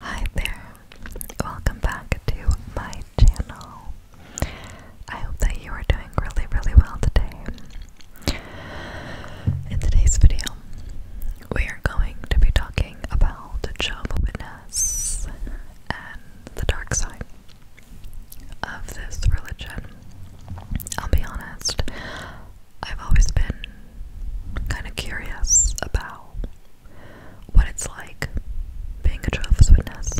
Hi there, welcome back to my channel. I hope that you are doing really, really well today. In today's video, we are going to be talking about job witness and the dark side of this religion. I'll be honest, I've always been kind of curious about what it's like being a Jehovah's Witness.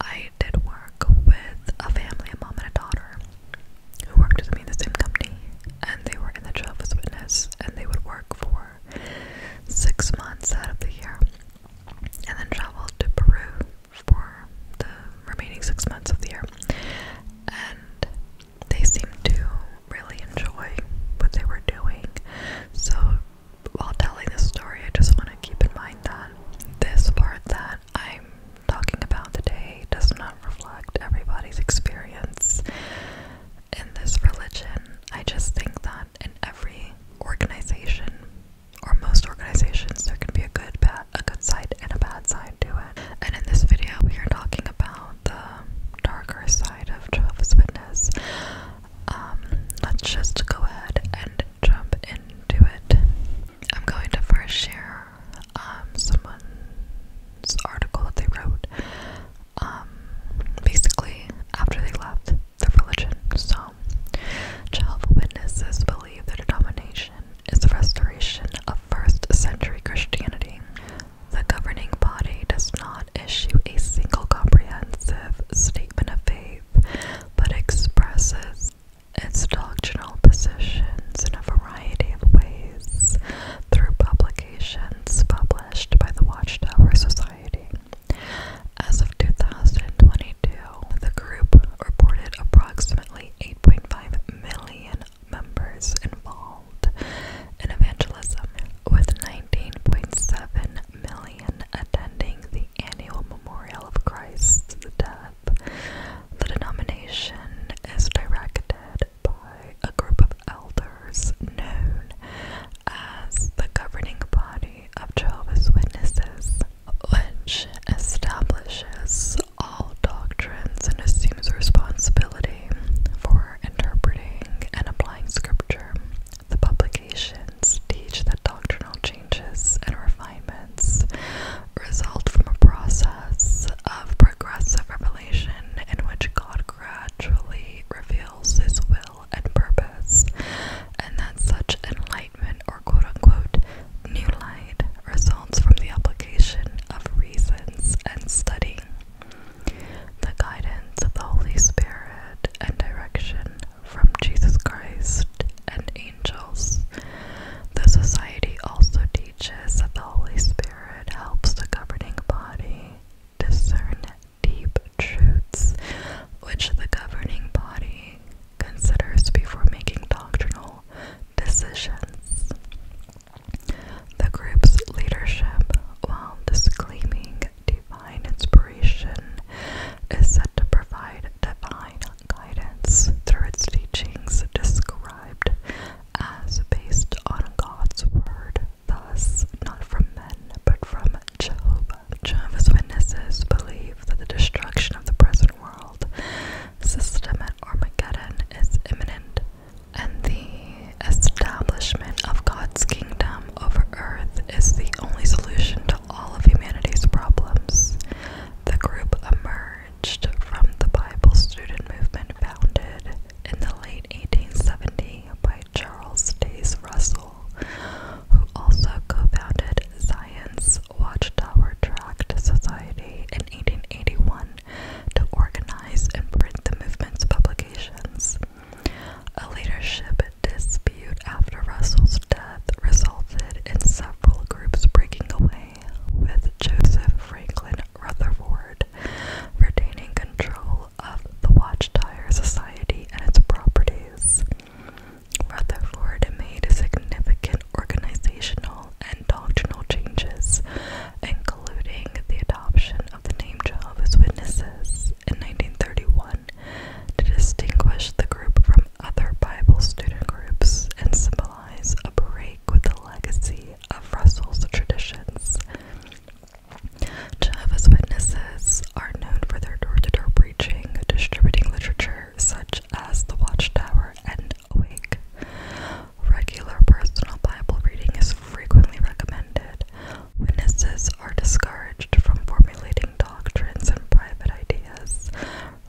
I did work with a family, a mom and a daughter, who worked with me in the same company, and they were in the Jehovah's Witness, and they would work for six months out of the year, and then travel to Peru for the remaining six months of the year. And they seemed to really enjoy what they were doing. So, while telling this story, I just want to keep in mind that this part that I'm talking about today does not reflect everybody's experience in this religion. I just think that in every organization, or most organizations, there can be a good, a good side and a bad side to it. And in this video, we are talking about the darker side of Travis Win um, let's just go ahead and jump into it. I'm going to first share um, someone's article that they wrote. Um, basically, after they left the religion. So, Jehovah's Witnesses believe the denomination is the restoration of first century Christianity. The governing body does not issue a single comprehensive statement of faith, but expresses its doctrinal positions in a variety of ways through publications published by the Watchtower Society. As of 2022, the group reported approximately 8.5 million members involved world evangelism, with 19.7 million attending the annual memorial of Christ's death. The denomination is directed by a group of elders known as the governing body of Jehovah's Witnesses, which establishes all doctrines and assumes responsibility for interpreting and applying scripture. The publications teach that doctrinal changes and refinements result from a process of progressive revelation in which God gradually reveals his will and purpose, and that such enlightenment or quote unquote new light results from the application of reason and study. The guidance of the Holy Spirit and direction from Jesus Christ and angels. The Society also teaches that the Holy Spirit helps the governing body discern deep truths which the governing body considers before making doctrinal decisions. The group's leadership, while disclaiming divine inspiration, is said to provide divine guidance through its teachings described as based on God's word, thus not from men but from Jehovah. Jehovah's Witnesses believe that the destruction of the present world, system at Armageddon, is imminent and the establishment of God's kingdom over earth is the only solution to all of humanity's problems. The group emerged from the Bible student movement founded in the late 1870s by Charles Days Russell, who also co founded Science Watchtower Tract Society in 1881 to organize and print the movement's publications. A leadership dispute after Russell's death resulted in several groups breaking away, with Joseph Franklin Rutherford retaining control of the Watchtower Society and its properties. Rutherford made significant organizational and doctrinal changes including the adoption of the name Jehovah's Witnesses in 1931 to distinguish the group from other Bible student groups and symbolize a break with the legacy of Russell's traditions. Jehovah's Witnesses are known for their door to door preaching, distributing literature such as The Watchtower and Awake. Regular personal Bible reading is frequently recommended, Witnesses are discouraged from formulating doctrines and private ideas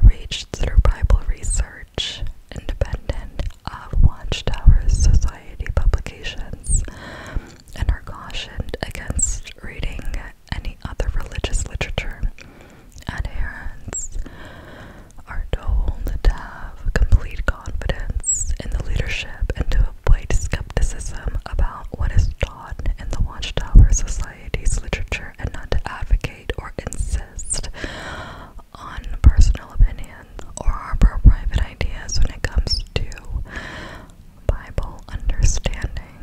reached through Bible research, independent of Watchtower Society publications, and are cautioned against reading any other religious literature. Adherents are told to have complete confidence in the leadership and to Played skepticism about what is taught in the Watchtower Society's literature and not to advocate or insist on personal opinion or harbor private ideas when it comes to Bible understanding.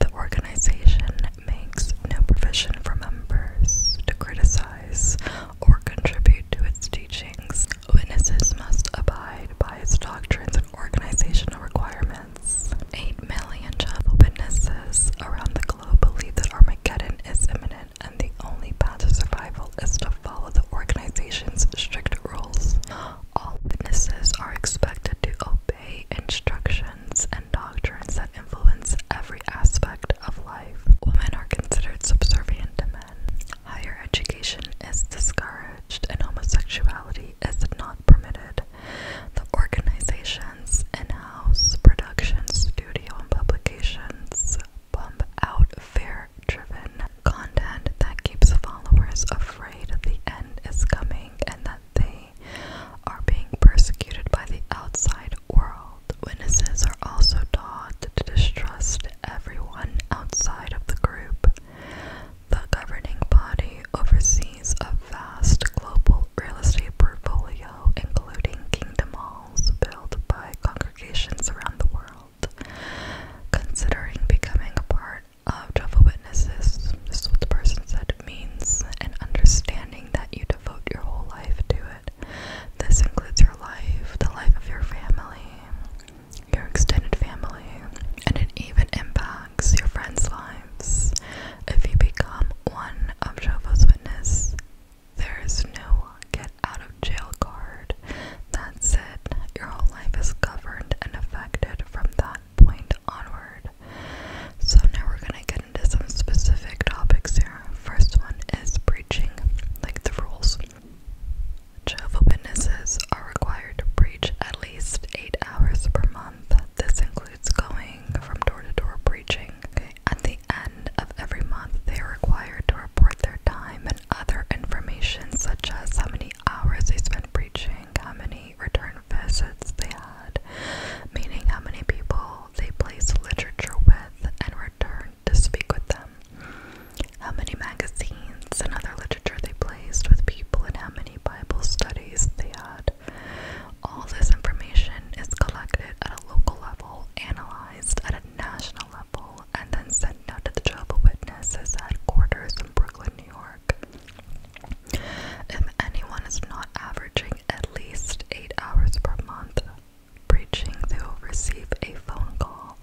The organization makes no provision for members to criticize or contribute to its Witnesses must abide by its doctrines and organizational requirements. Eight million Jehovah's Witnesses around the globe believe that Armageddon is imminent, and the only path to survival is to follow the organization's strict rules. All witnesses are expected to obey instructions and doctrines that influence every aspect of life. Women are considered subservient to men. Higher education is discouraged and homosexuality is not permitted. The organization's in house production studio and publications pump out fear driven content that keeps followers afraid that the end is coming and that they are being persecuted by the outside world. Witnesses are also taught to distrust everyone outside of the group. The governing body oversees a vast global real estate portfolio, including kingdom halls built by congregations around the world. Considering becoming a part of Jehovah Witnesses, this is what the person said, means an understanding that you devote your whole life to it. This includes your life, the life of your family, your extended family, and it even impacts your friends' lives. If you become one of Shova's Witnesses, there is no get out of jail card. That's it. Your whole life is governed and affected from that point onward. So now we're gonna get into some specific topics here. First one is breaching like the rules. Jehovah Witnesses are required to preach at least eight hours per month. This includes going from door to door preaching. At the end of every month, they are required to report their time and other information, such as how many hours they spent preaching, how many return visits they had, meaning how many people they placed literature with, and returned to speak with them, how many magazines and other literature they placed with people, and how many Bible studies they had. All this information is collected at a local level, analyzed at a national level, and then sent out to the Jehovah's Witnesses headquarters in Brooklyn, New York. If anyone is not averaging at least eight hours per month preaching, they will receive a phone call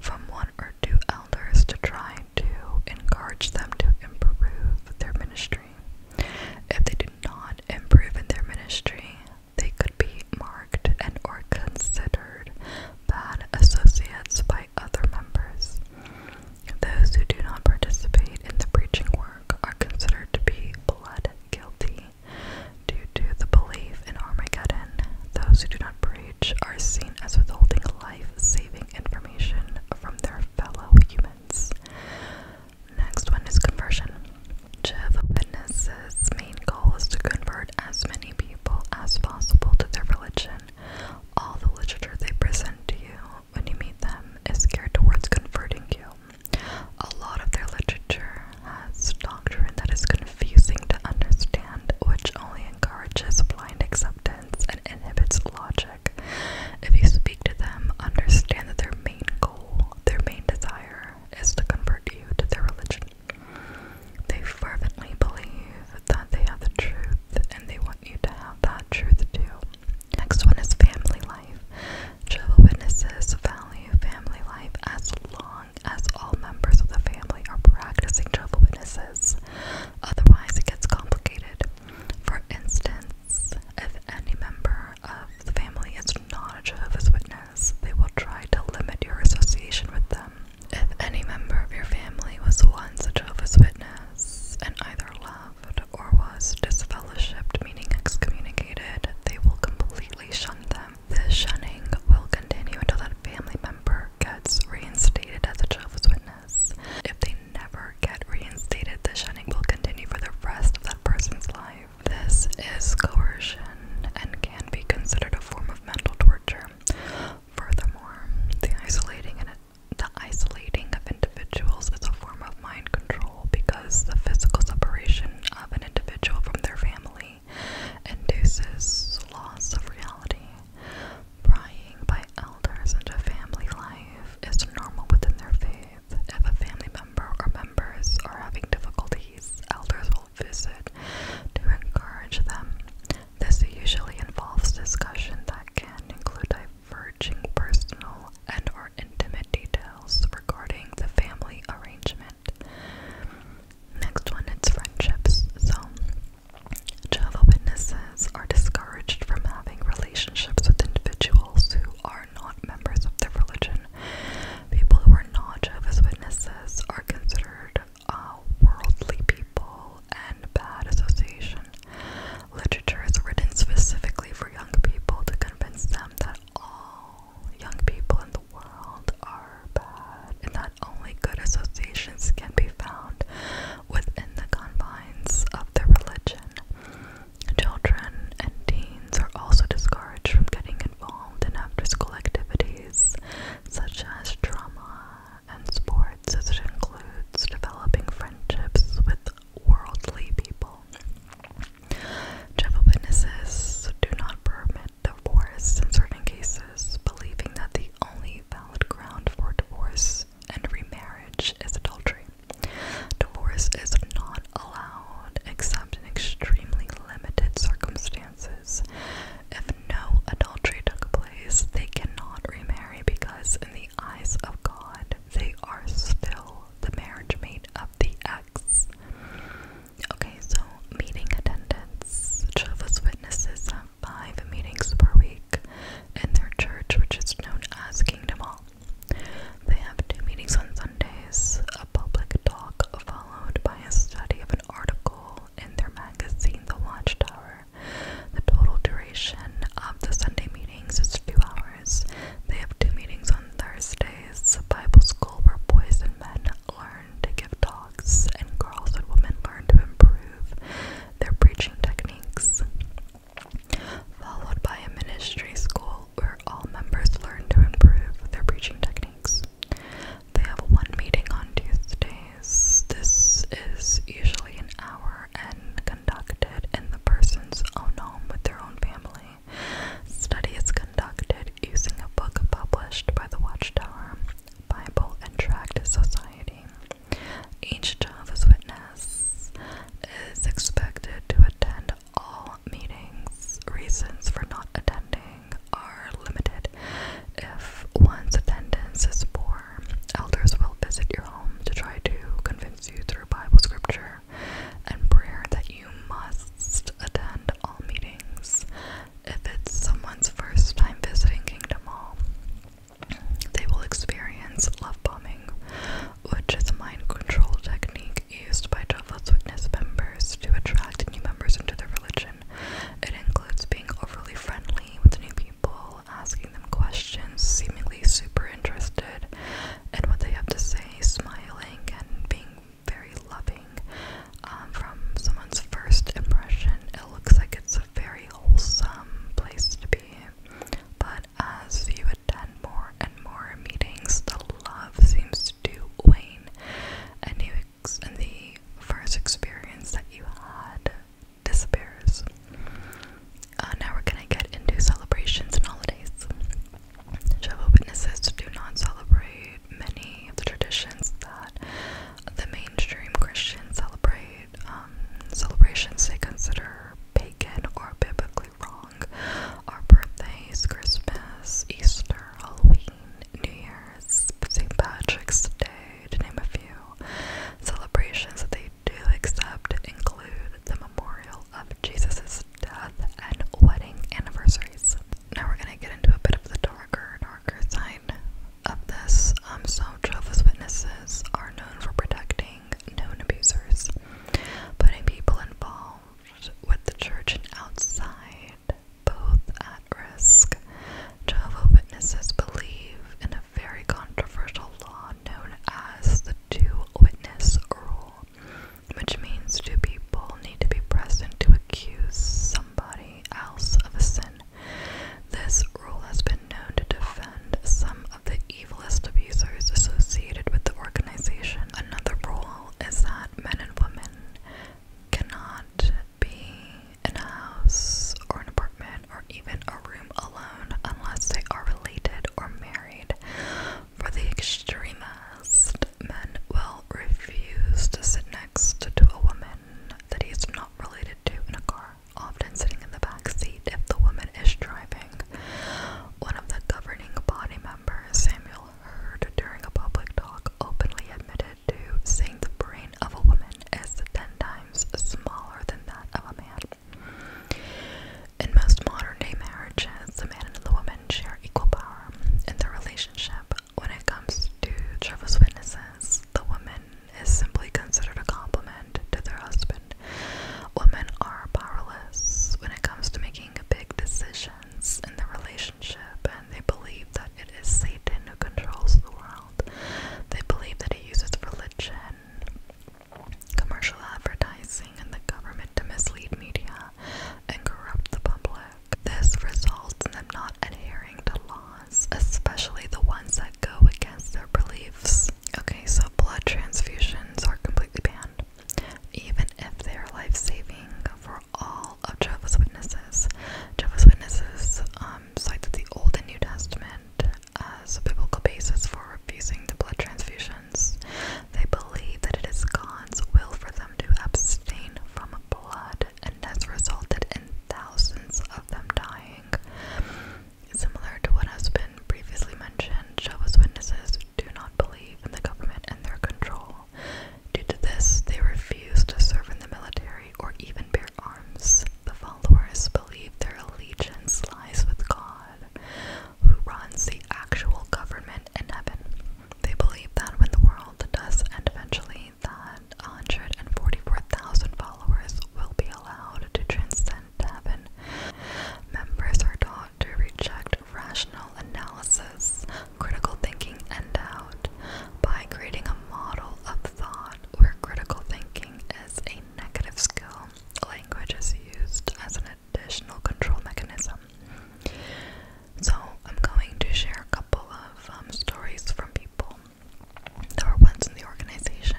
from one or two elders to try to encourage them to improve their ministry. If they do not improve in their ministry, they could be marked and or considered bad associates by other members. Those who do not participate in the preaching work are considered to be blood guilty. Due to the belief in Armageddon, those who do not preach outrage are seen as withholding life saving information from their fellow humans. Next one is conversion. Jehovah's Witnesses' main goal is to convert as many people as possible to their religion. All the literature they present to you when you meet them is geared towards converting you. A lot of their literature has doctrine that is confusing to understand, which only encourages blind acceptance and inhibits logic. If you speak to them, understand that their main goal, their main desire, is to convert you to their religion. They fervently believe that they have the truth and they want you to have that truth too. Next one is family life. Jehovah Witnesses value family life as long as all members of the family are practicing Jehovah's Witnesses. Otherwise, it gets complicated. For instance, if any member of the family is not a Jehovah's Witness, they will try to limit your association with them. If any member of your family was once a Jehovah's Witness and either left or was disfellowshipped, meaning excommunicated, they will completely shun them. This shunning will continue until that family member gets reinstated as a Jehovah's Witness. If they never get reinstated, the shunning will continue for the rest of that person's life. This is coercion and can be considered a form of mental torture. Furthermore, the isolating and the isolating of individuals is a form of mind control because the physical separation of an individual from their family induces loss of reality. Prying by elders into family life is normal within their faith. If a family member or members are having difficulties, elders will visit to encourage them. This usually involves discussion that can include diverging personal and or intimate details regarding the family arrangement. Next one, it's friendships. So, Jehovah Witnesses are discouraged from having relationships with individuals who are not members of their religion. People who are not Jehovah's Witnesses are considered uh, worldly people and bad association. Literature is written specifically for young people to convince them that all young people in the world are bad, and that only good associations can be found within the confines of the religion. Children and teens are also discouraged from getting involved in after school activities such as drama and sports, as it includes developing friendships with worldly people. Jehovah's Witnesses do not permit divorce in certain cases, believing that the only valid ground for divorce and remarriage is adultery. Divorce is not allowed except in extremely limited circumstances. If no adultery took place, they cannot remarry because, in the eyes of God, they are still the marriage mate of the ex. Okay, so meeting attendance, Jehovah's Witnesses um, five meetings per week in their church, which is known as Kingdom Hall. They have two meetings on Sundays, a public talk followed by a study of an article in their magazine, The Watchtower. The total duration of the Sunday meetings is two hours. They have two meetings on Thursdays, Bible school where boys and men learn to give talks, and girls and women learn to improve their preaching techniques. Followed by a ministry school where all members learn to improve their preaching techniques. They have one meeting on Tuesdays. This is usually an hour and conducted in the person's own home with their own family. Study is conducted using a book published by the Watchtower. Bible and Tract Society. Each Jehovah's Witness is expected to attend all meetings. Reasons for not attending are limited. If one's attendance is poor, elders will visit your home to try to convince you through Bible scripture and prayer that you must attend all meetings. If it's someone's first time visiting Kingdom Hall, they will experience love bombing, which is a mind control technique used by Jehovah's Witness members to attract new members into their religion. It includes being overly friendly with new people, asking them questions, seemingly super interested in what they have to say, smiling, and being very loving. Um, from someone's first impression, it looks like it's a very wholesome place to be. But as you attend more and more meetings, the love seems to wane, and, and the first experience that you had disappears. Uh, now we're going to get into celebrations and holidays. Jehovah's Witnesses do not celebrate many of the traditions that the mainstream Christians celebrate um, celebrations they consider pagan or biblically wrong are birthdays, Christmas, Easter, Halloween, New Year's, St. Patrick's Day, to name a few. Celebrations that they do accept include the memorial of Jesus' death and wedding anniversaries. Now we're gonna get into a bit of the darker, darker side of this, um, so Jehovah's Witnesses are known for protecting known abusers, putting people involved with the church and outside both at risk. Jehovah's Witnesses believe in a very controversial law known as the two witness rule, which means two people need to be present to accuse somebody else of a sin women. This rule has been known to defend some of the evilest abusers associated with the organization. Another rule is that men and women cannot be in a house or an apartment or even a room alone unless they are related or married. For the extremist, men will refuse to sit next to a woman that he is not related to in a car, often sitting in the back seat if the woman is driving. One of the governing body members, Samuel Heard, during a public talk, openly admitted to saying the brain of a woman is ten times smaller than that of a man. In most modern day marriages, the man and the woman share equal power in their relationship, when it comes to Jehovah's Witnesses, the woman is simply considered a compliment to their husband. Women are powerless when it comes to making big decisions in the relationship, and they believe that it is Satan who controls the world. They believe that he uses religion, commercial advertising, and the government to mislead media and corrupt the public. This results in them not adhering to law especially the ones that go against their beliefs. Okay, so blood transfusions are completely banned, even if they are life saving for all of Jehovah's Witnesses. Jehovah's Witnesses um, cite the Old and New Testament as a biblical basis for refusing the blood transfusions. They believe that it is God's will for them to abstain from blood and that's resulted in thousands of them dying. Similar to what has been previously mentioned, Jehovah's Witnesses do not believe in the government and their control. Due to this, they refuse to serve in the military or even bear arms. The followers believe their allegiance lies with God, who runs the actual government in heaven. They believe that when the world does end eventually, that 144,000 followers will be allowed to transcend heaven. Members are taught to reject rational analysis, critical thinking, and doubt by creating a model of thought where critical thinking is a negative skill. Language is used as an additional control mechanism. So, I'm going to share a couple of um, stories from people that were once in the organization.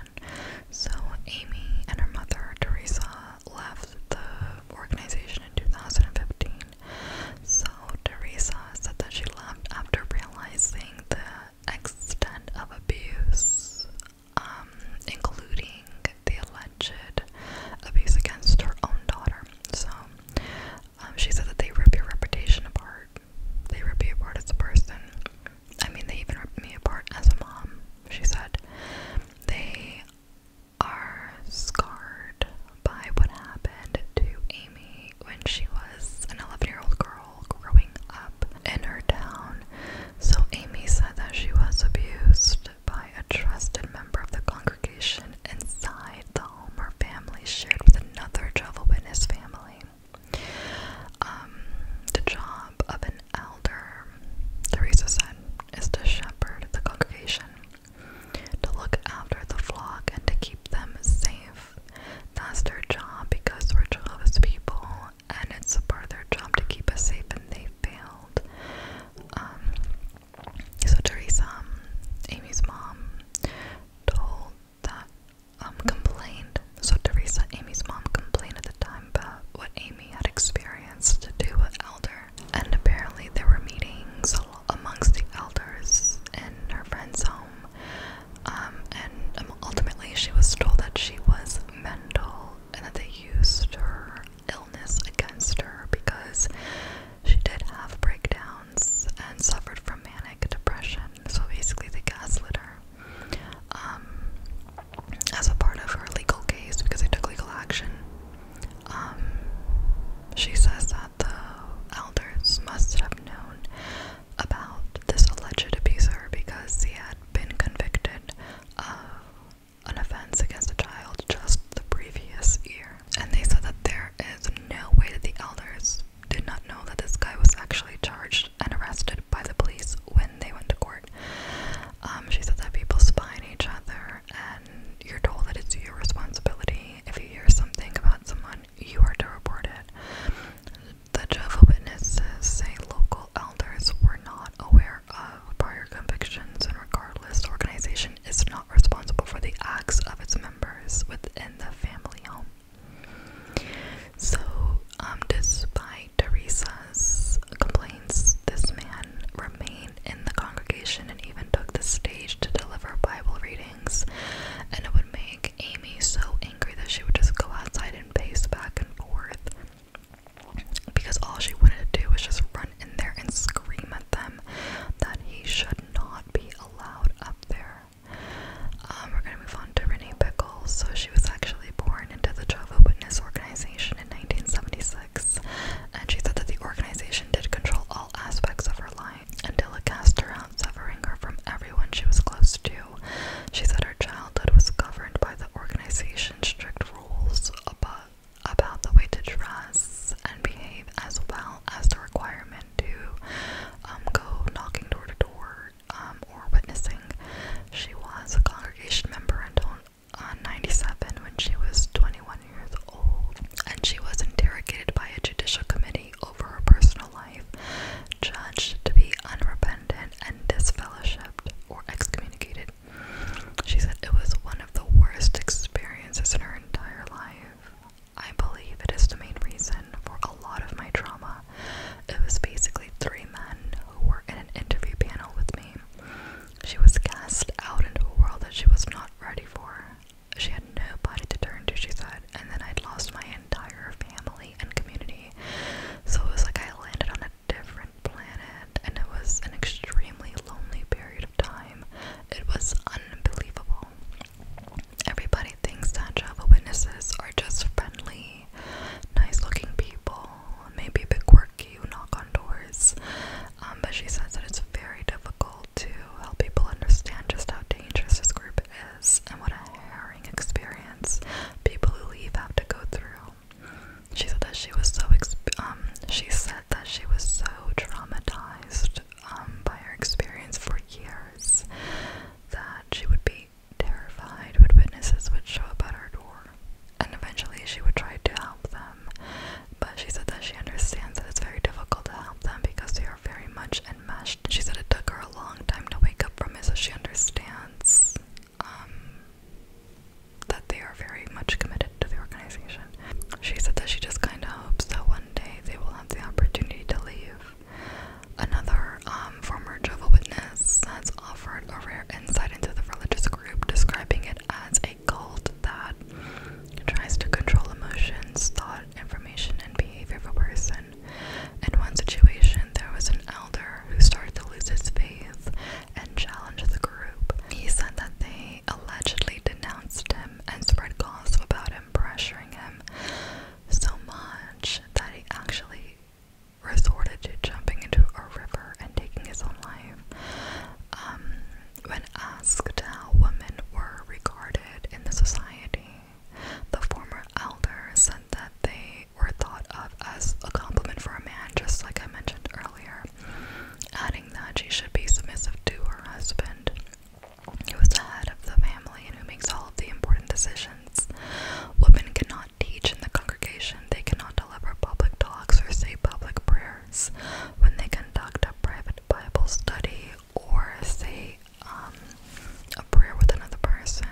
So Amy and her mother, Teresa, left the organization in 2015. So Teresa said that she left after realizing the extent of abuse, um, including the alleged abuse against her own daughter. So um, she said that they rip your reputation apart. They rip you apart as a person. I mean, they even rip me apart as a mom. She said they are scarred by what happened to Amy when she was an 11 year old girl growing up in her town. So, Amy said that she was abused by a trusted member of the congregation inside the home her family shared with another Jehovah's Witness family. Um, the job of an elder, Teresa said, is to shepherd the congregation, to look after the flock and to keep them safe. That's their job because we're Jehovah's people, and it's a part of their job to keep us safe, and they failed. Um, so Teresa, um, Amy's mom, told that um, complained. So Teresa, Amy's mom, complained at the time about what Amy had experienced to do with Elder, and apparently there were meetings amongst the elders in her friend's home, um, and um, ultimately she was told that she was mental and that they used her illness against her because she did have breakdowns and suffered from manic depression so basically the gaslighter, um, as a part of her legal case because they took legal action. Um, she says that the elders must have known about this alleged abuser because he had been convicted of an offense against a child just the previous year. And they said that there is no way that the elders did not know that this guy was actually charged and arrested by the police when they went to court. Um, she said that people spy on each other, and you're told that it's your responsibility. If you hear something about someone, you are to report it. The Jehovah Witnesses say local elders were not aware of prior convictions, and regardless, the organization is not responsible for the acts of its members within the family home. So, um, despite Teresa's complaints, this man remained in the congregation and even took the stage to deliver Bible readings. And it would make Amy so angry that she would just go outside and pace back and forth because all she wanted to do was just run in there and scream at them that he should not be allowed up there. Um, we're gonna move on to Renee Pickles. So she was actually born into the Jehovah Witness organization in 1976, and she said that the organization did control all aspects of her life until it cast her out, severing her from everyone she was close to. She said her childhood was governed by the organization's strict rules about about the way to dress and behave, as well as the requirement to um, go knocking door to door um, or witnessing. She was a congregation member until uh, 97 when she was 21 years old, and she was interrogated by a judicial committee over her personal life, judged to be unrepentant and disfellowshipped or excommunicated. She said it was one of the worst experiences in her entire life. I believe it is the main reason for a lot of my trauma. It was basically three men who were in an interview panel with me. She was cast out into a world that she was not ready for. She had nobody to turn to, she said, and then I'd lost my entire family and community. So it was like I landed on a different planet, and it was an extremely lonely period of time. It was unbelievable. Everybody thinks that Jehovah Witnesses are just friendly, nice-looking people, maybe a bit quirky, who knock on doors. Um, but she says that it's very difficult to help people understand just how dangerous this group is and what a harrowing experience people who leave have to go through. She said that she was so um, she said that she was so traumatized um, by her experience for years that she would be terrified when witnesses would show up at her door. And eventually she would try to help them, but she said that she understands that it's very difficult to help them because they are very much enmeshed. She said it took her a long time to wake up from it, so she understands um, that they are very much committed to the organization. She said that she just kind of hopes that one day they will have the opportunity to leave. Another um, former Jehovah Witness has offered a rare insight into the religious group, describing it as a cult that tries to control emotions, thought, information, and behavior of a person. In one situation, there was an elder who started to lose his faith and challenged the group. He said that they allegedly denounced him and spread gossip about him, pressuring him so much that he actually resorted to jumping into a river and taking his own life. Um, when asked how women were regarded in the society, the former elder said that they were thought of as a compliment for a man, just like I mentioned earlier, adding that she should be submissive to her husband who is the head of the family and who makes all of the important decisions. Women cannot teach in the congregation, they cannot deliver public talks or say public prayers. When they conduct a private Bible study or say um, a prayer with another person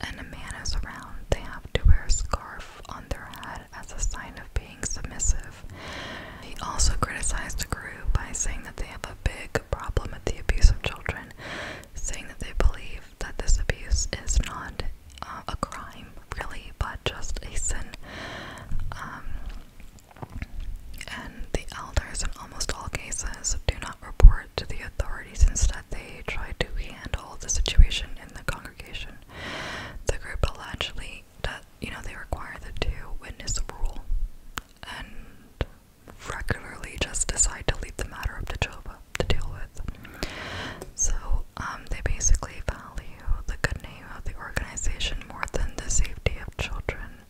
and a man is around, they have to wear a scarf on their head as a sign of being submissive. He also criticized the group by saying that they have a big problem the abuse of children, saying that they believe that this abuse is not uh, a crime, really, but just a sin. Um, and the elders, in almost all cases, do not report to the authorities. Instead, they try to handle the situation in the congregation. The group allegedly, that you know, they require the two-witness rule, and regularly just decide to leave the matter up to Joba to deal with. So um, they basically value the good name of the organization more than the safety of children,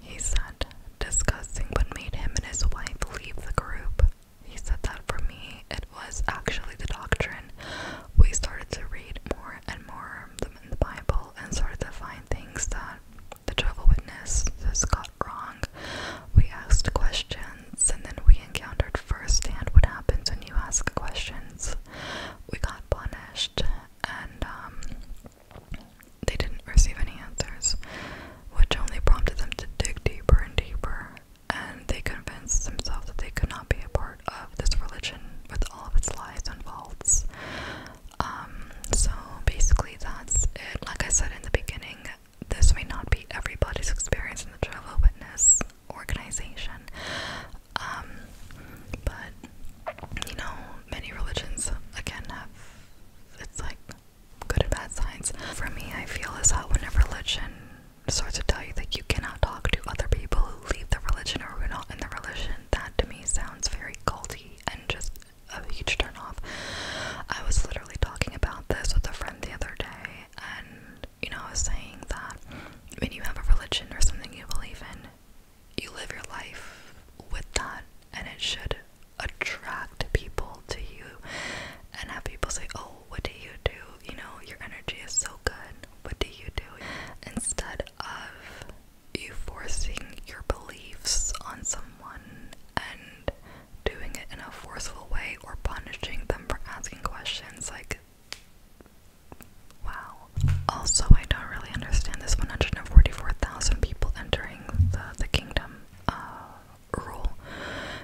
he said, discussing what made him and his wife leave the group. He said that for me, it was actually the doctrine. We started to read more and more in the Bible and started to find things that the travel witness this got wrong. We asked questions and then we encountered firsthand what happens when you ask questions. We got punished and um, they didn't receive any answers, which only prompted them to dig deeper and deeper. And they convinced themselves that they could not be a part of this religion with all of its lies and faults. Um, so basically, that's it. Like I said in the beginning, this may not be everybody's experience in the travel witness organization. Um, but you know, many religions again have it's like good and bad sides. For me, I feel as though when a religion starts to tell you that you cannot talk to other people who leave the religion or who are not in the religion, that to me sounds very culty and just a huge turnoff. I was literally talking about this with a friend the other day, and you know, I was saying that when you have a religion or something you believe in, you live your life with that, and it should attract people to you and have people say, Oh, what do you do? You know, your energy is so good. What do you do? Instead of you forcing your beliefs on someone and doing it in a forceful way or punishing them for asking questions like wow also i don't really understand this 144000 people entering the, the kingdom uh, rule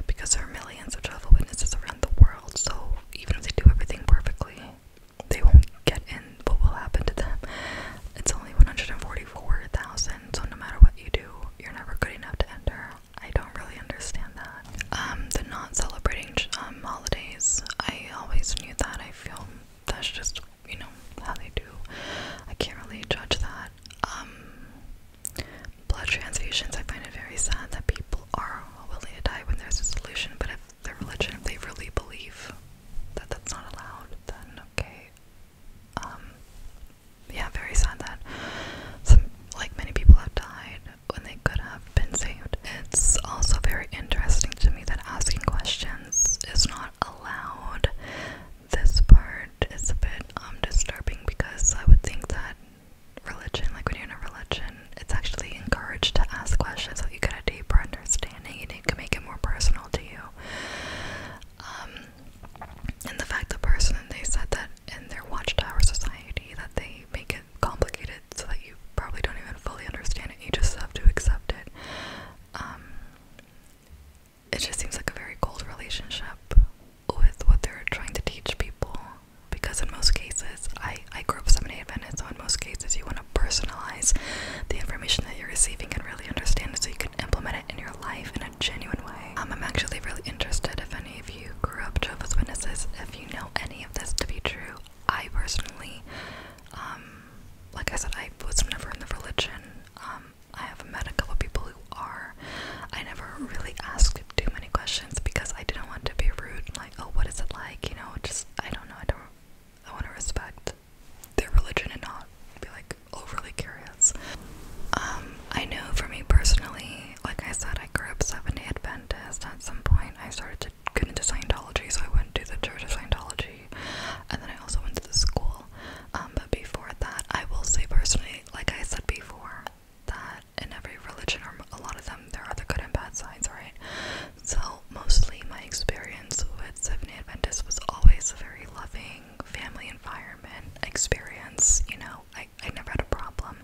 because there are millions of jehovah witnesses around the world so even if they do everything perfectly they won't get in what will happen to them. It's only 144,000, so no matter what you do, you're never good enough to enter. I don't really understand that. Um, the not celebrating um, holidays, I always knew that. I feel that's just, you know, how they do. I can't really judge that. Um, blood transfusions, I find it very sad that people are willing to die when there's a solution, but if their religion, if they really believe that that's not allowed, then okay, um, yeah, very sad that some, like many people have died when they could have been saved. It's also very interesting to me that asking questions is not allowed. This part is a bit um, disturbing because I would think that religion, like when you're in a religion, it's actually encouraged to ask questions so that you get a deeper understanding and you can make it more personal to you um, and the fact the person they said that in their Watchtower Society that they make it complicated so that you probably don't even fully understand it. You just have to accept it. Um, it just seems like a very cold relationship with what they're trying to teach people. Because in most cases, I, I grew up Seventh-day Adventist, so in most cases you want to personalize the information that you're receiving and really understand it so you can implement it in your life in a genuine way. Um, I'm actually really interested if any of you grew up Jehovah's Witnesses, if you know any of this to be true. I personally, um, like I said, I was never in the religion. Um, I have met a couple people who are. I never really asked too many questions because I didn't want to be rude, like, oh, what is it like? You know, just I don't know. I don't. I want to respect their religion and not be like overly curious. Um, I know for me personally, like I said, I grew up Seventh Day Adventist. At some point, I started to get into Scientology, so I went to the Church of Scientology, and then I also went to the school. Um, but before that, I will say personally, like I said before, that in every religion or a lot of them, there are the good and bad sides, right? So mostly my experience with Seventh day Adventist was always a very loving family environment experience. You know, I, I never had a problem.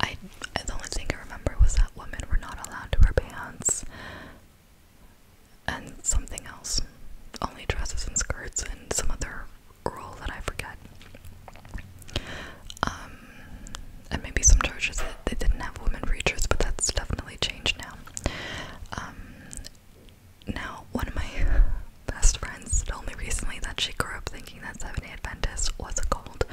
I the only thing I remember was that women were not allowed to wear pants and something else, only dresses and skirts and some other rule that I forget. Um, and maybe some churches that they didn't have women preachers, but that's definitely changed now. Um, now, one of my best friends told me recently that she grew up thinking that Seventh day Adventist was a cult,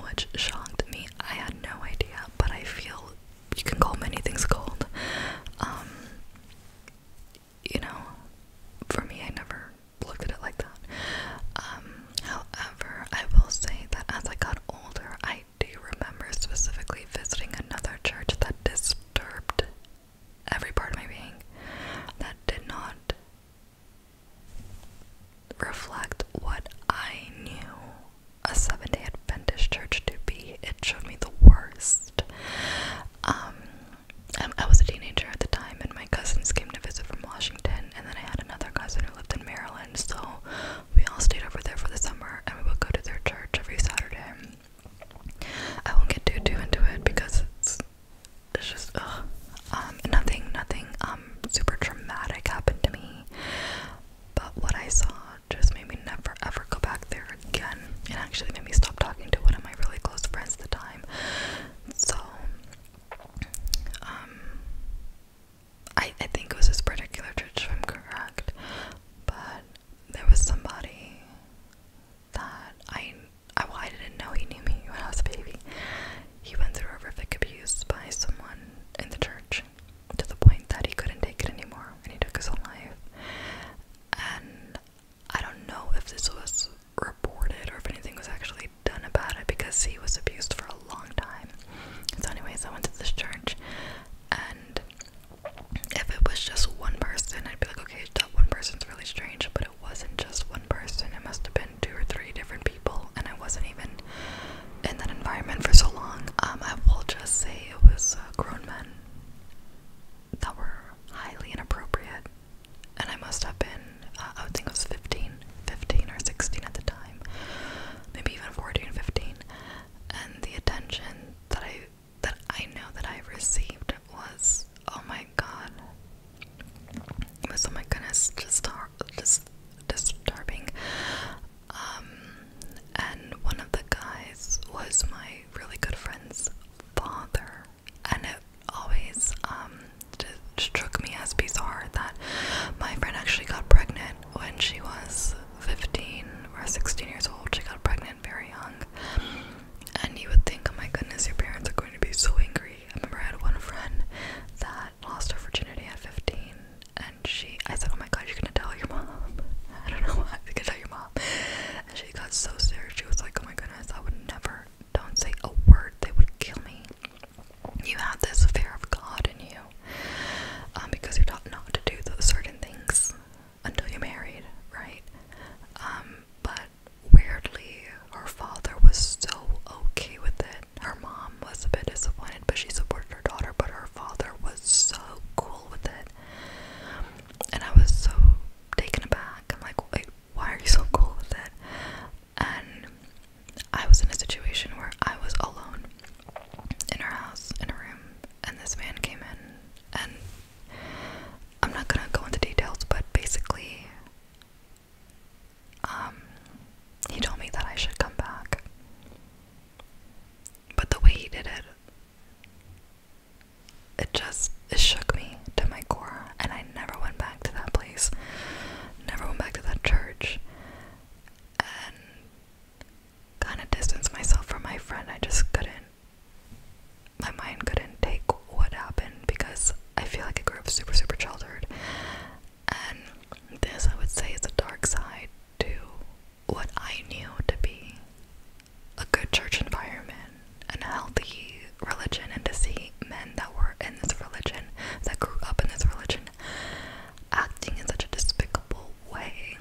which shocked me. I had no idea, but I feel you can call many things cold. Um, you know, for me, I never looked at it like that. Um, however, I will say that as I got older, I do you remember specifically visiting another church that disturbed every part of my being, that did not reflect what I knew a Seventh day Adventist church to be. It showed me the worst. Um, I was a teenager at the time, and my cousins came to visit from Washington, and then I had another cousin who lived in Maryland, so we all stayed over there for the summer, and we would go to their church every Saturday. I won't get too too into it because it's it's just ugh. Um, nothing, nothing um super traumatic happened to me, but what I saw just made me never ever go back there again. and actually made me stop talking to one of my really close friends at the time. So, um, I I think it was this particular church, if I'm correct, but there was somebody that I I, well, I didn't know he knew me when I was a baby. He went through horrific abuse by someone in the church to the point that he couldn't take it anymore and he took his own life. And I don't know if this was reported or if anything was actually done about it because he was abused for a long time. So, anyways, I went to this church and if it was just one person, I'd be like, okay, that one person's really strange, but it wasn't just one person. It must have been two or three different people, and I wasn't even in that environment for so long. Um, I will just say it was uh, grown men that were highly inappropriate, and I must have been, uh, I would think I was 15, 15 or 16 at the time, maybe even 14, 15, and the attention that I that I know that I received was oh my god. was oh my goodness, just just disturbing. Um, and one of the guys was my really good friend's father, and it always um struck me as bizarre that my friend actually got pregnant when she was 15 or 16 years old. She got pregnant very young. And you would think, oh my goodness, your parents are going to be so angry. I remember I had one friend that lost her virginity at 15, and she, I said, oh my god, you're gonna tell your mom. I don't know why, you're gonna tell your mom. And she got so scared. she was like, oh my goodness, I would never, don't say a word, they would kill me. You have this fear of God in you um, because you're taught not to do those certain things until you married, right? Um, but weirdly, her father was so okay with it. Her mom was a bit disappointed, but she supported her daughter, but her father was so cool with it. And I was so taken aback. I'm like, wait, why are you so cool with it? And I was in a situation where I was alone in her house, in a room, and this man came in and I'm not gonna go into details, but basically, um, he told me that I should come back, but the way he did it, it just shook me to my core, and I never went back to that place, never went back to that church, and kind of distanced myself from my friend. I just couldn't my mind couldn't take what happened because I feel like I grew up super, super sheltered. And this, I would say, is a dark side to what I knew to be a good church environment and a healthy religion, and to see men that were in this religion, that grew up in this religion, acting in such a despicable way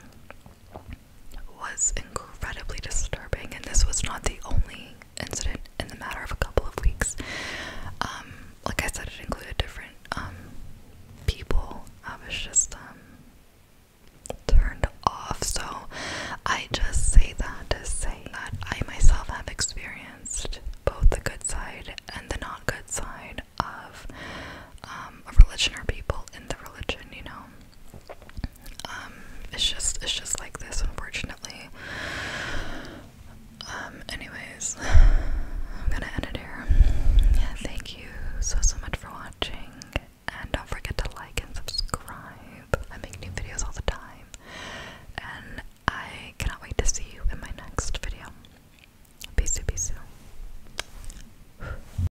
was incredibly disturbing, and this was not the only incident in the matter of a couple of weeks. Um, like I said, it included different um, people. I was just um, turned off, so I just say that to say that I myself have experienced both the good side and the not good side of a religion or people in the religion, you know. Um, it's just it's just like this, unfortunately. Um, anyways, I'm gonna end it here. Yeah, thank you so so much for watching, and don't forget to like and subscribe. I make new videos all the time, and I cannot wait to see you in my next video. Peace, peace.